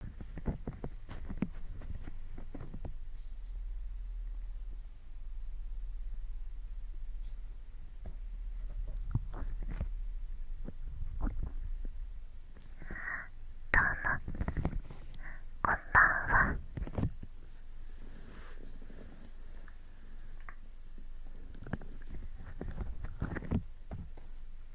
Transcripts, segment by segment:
どうもこんばんは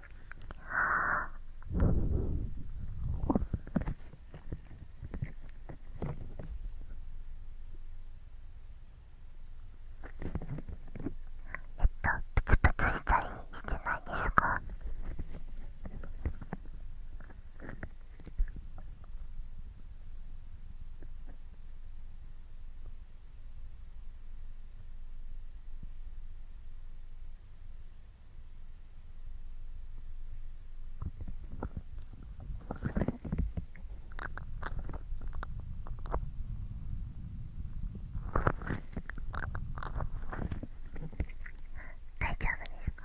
ああ。えっとプツプツしたりしてないですか大丈夫ですか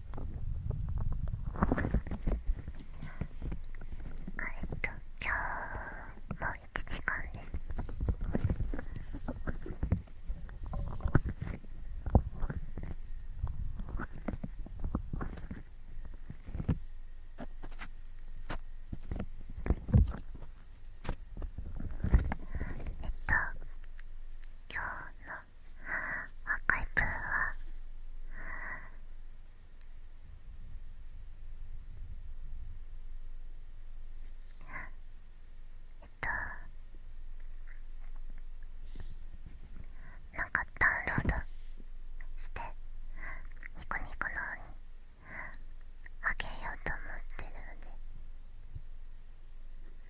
えっと今日も1時間ですえっと今日の赤いプーはえっとなんかダウンロードしてニコニコの方にあげようと思ってるのでよ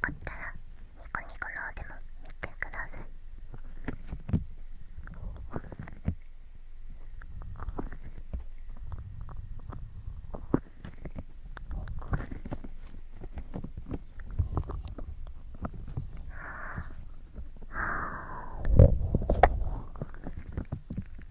かったらニコニコのでも見てください。はあはあ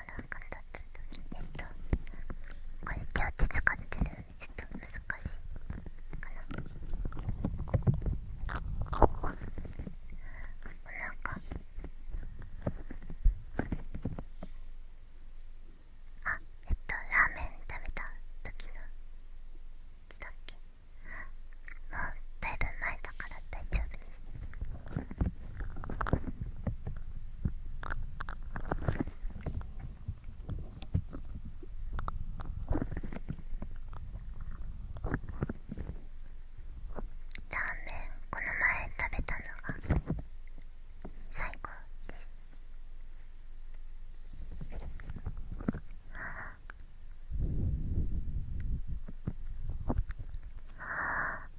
かってえっとこれ手を手使ってるちょっと難しいかななんかあえっとラーメン食べた時のいつだっけもうだいぶ前だから大丈夫ですラーメンこの前食べたのが最高ですああああ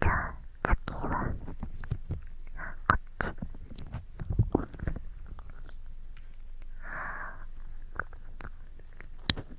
じゃあ次はこっち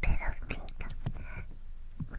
ペロピン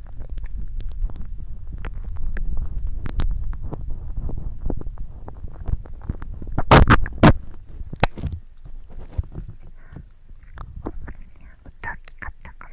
大きかったかも。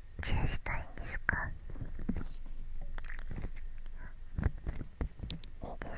チェしたいんですかいいですよ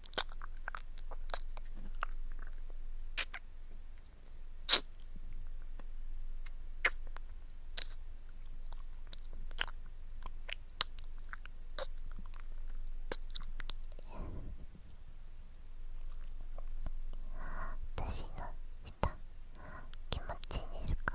私のした気持ちいいですか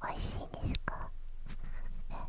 おいしいですか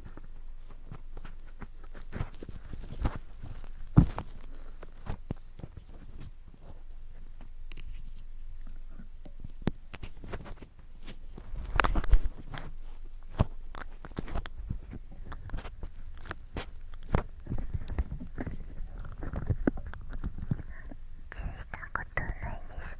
したことないです。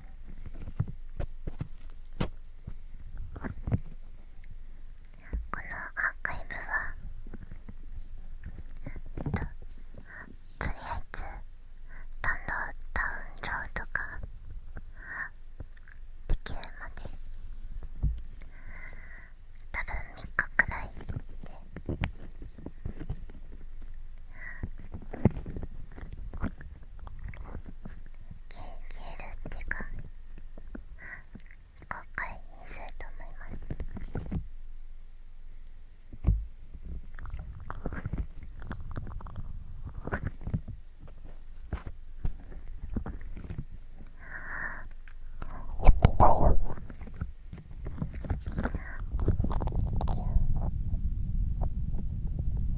このアーカイブは、と、りあえずダウンロードダウンロードができるまで多分3日くらいで消えルっていうか後悔にすると思いますあ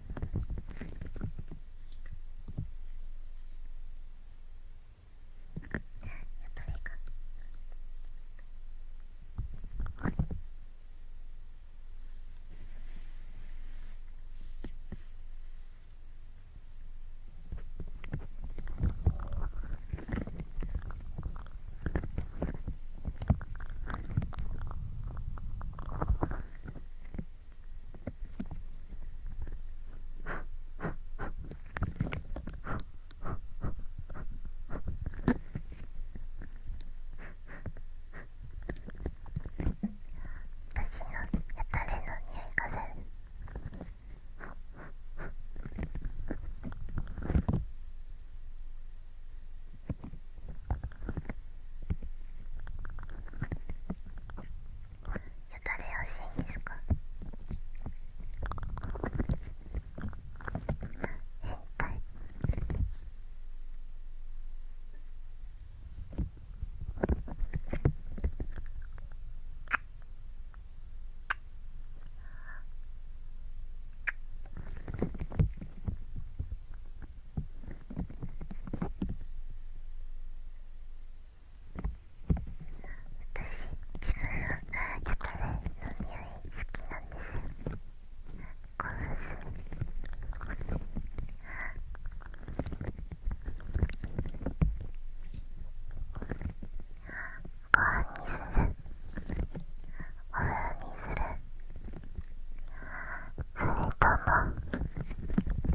誰か私のやたれの匂いがす打たれやしいんですか変態あ私自分の焼き目の匂い好きなんですよ興奮ご飯にするお風呂にするそれとも。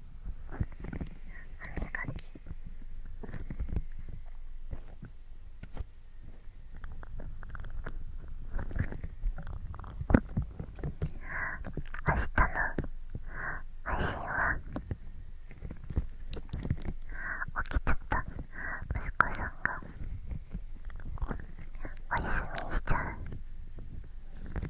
歯磨き明日の配信は起きちゃった息子さんがお休みしちゃう。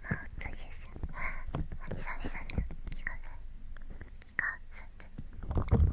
毛这也是，你上一上的几个人，几个字的。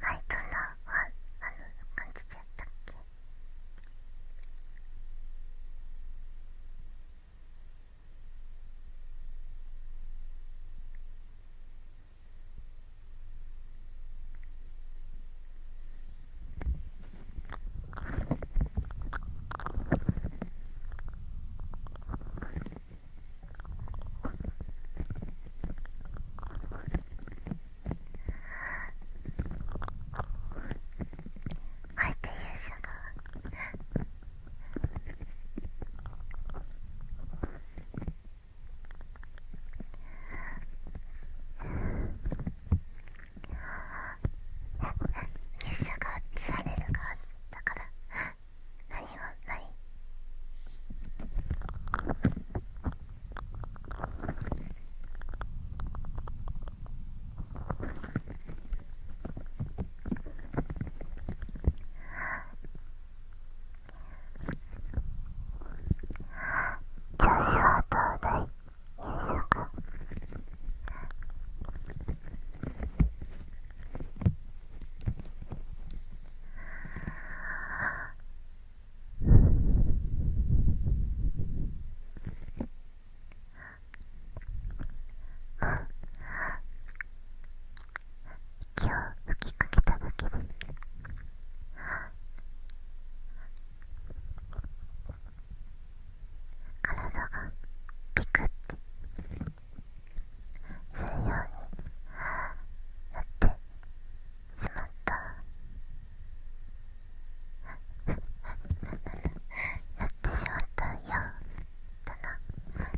前どんなあの感じちゃったっけああえて勇者が勇者が映される側だから何はない調子はどうだい夕食息を吹きかけただけです体がピクッて。するようになってしまったなってしまったようだなこ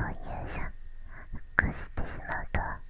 ういうシゃ、ックしてしまうとは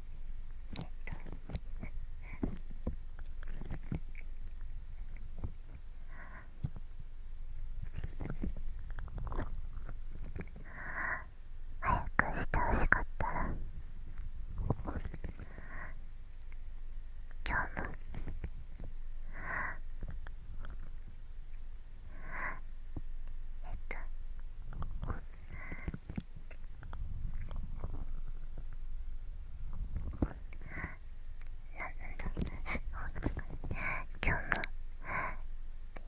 えっと。早くしてほしかったら今日もえっと。な今日も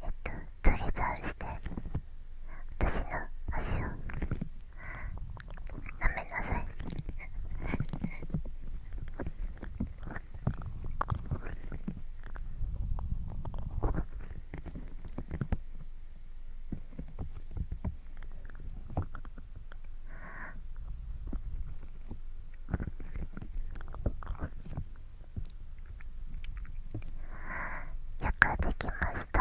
えっとトりザして私の足をなめなさいよくできました。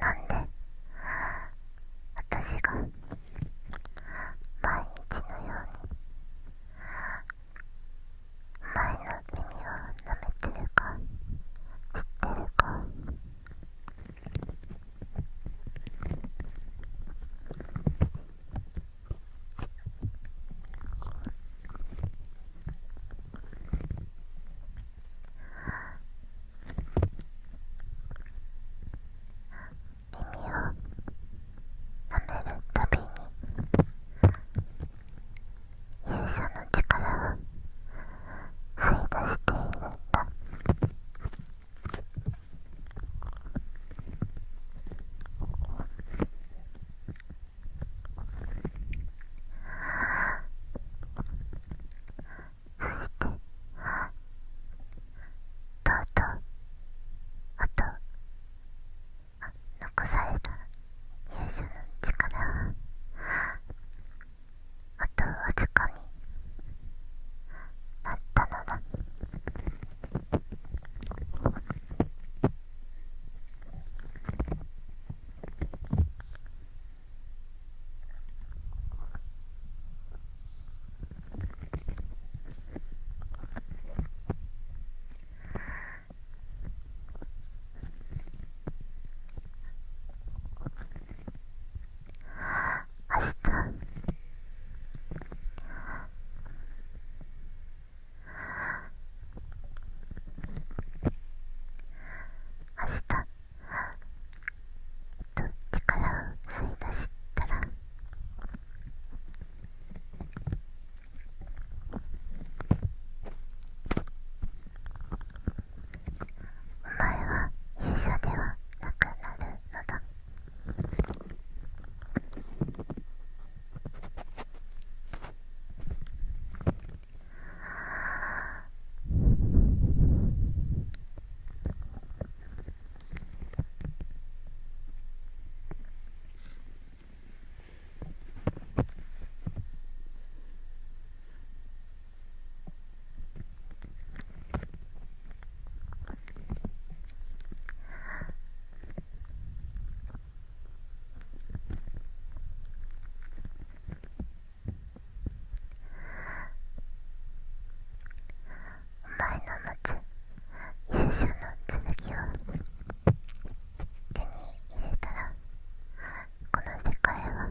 なんで私が毎日のように前の耳を舐めてるか知ってるかめるたびに勇者の力を吸い出しているんだ。て、とうとうあと残された勇者の力はあとわずかになったのだ明日明日と力を吸い出したらお前は勇者ではなくなるのだお前の持つ勇者の剣を手に入れたらこの世界は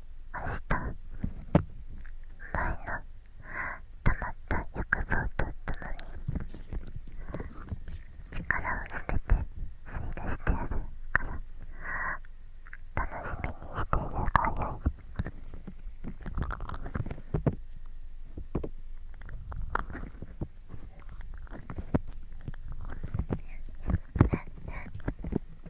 明日前の溜まった欲望とともに力をすべて吸い出してやるから楽しみにしているがよい。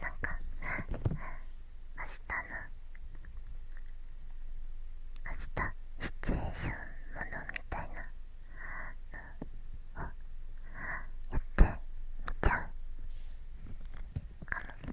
なんか明日の明日シチュエーションものみたいなのをやってみちゃうかも。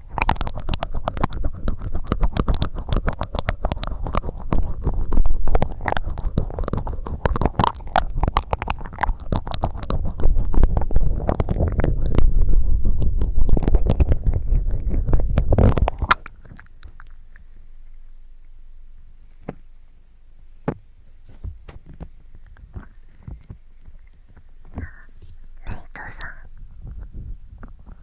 メイトさん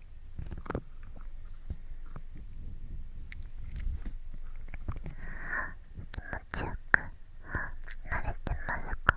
気持ちよく慣れてますか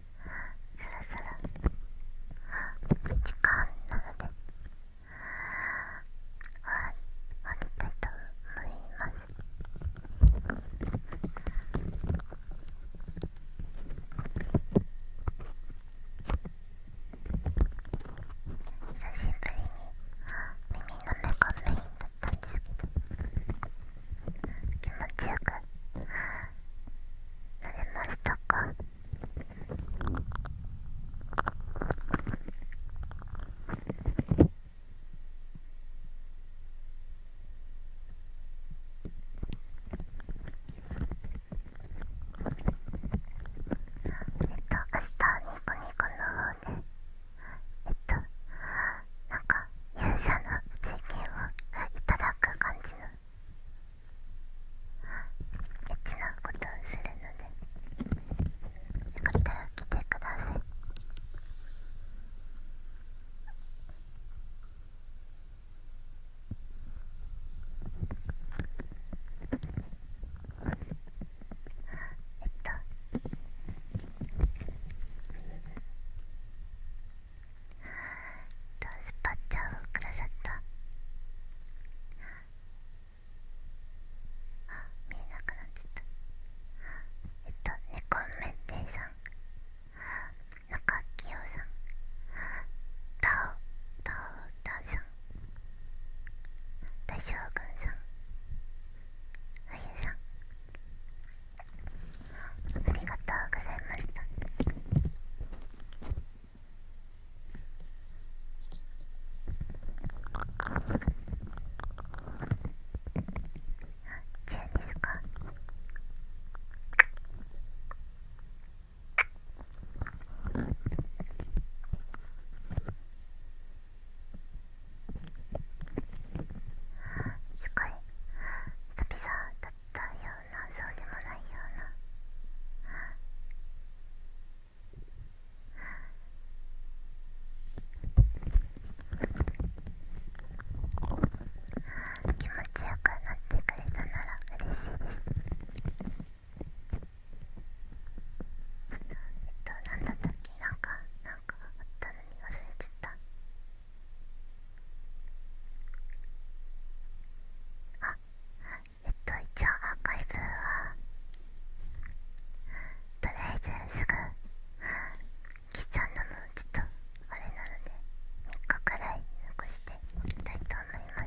そろそろ…時間なのであったと思います久しぶりに耳のメがメインだったんですけど。気持ちよくなれましたかえっと明日ニコニコの方でえっとなんか勇者の経験をいただく感じのエッチなことをするのでよかったら来てくださいえっと。とスパッチャーをくださったあ見えなくなっちゃったえっと猫めんていさん中きよさんタオタオタさん大将軍さんあゆさんありがとうございましたあ中ですすごい。旅さだったよそうでもないような気持ちよくなってくれたなら嬉しいですえっと何だったっけなんかなんかあったのに忘れちゃった。あえっと一応アーカイブはとりあえずすぐキちゃャのもちょっとあれなので3日くらい残していきたいと思いま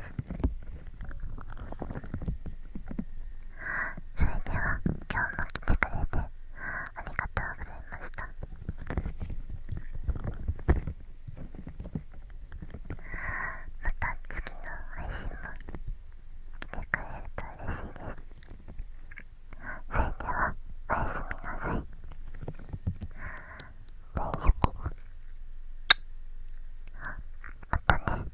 すそれでは今日も来てくれてありがとうございましたまた次の配信も来てくれると嬉しいですそれではおやすみなさい大好きまたね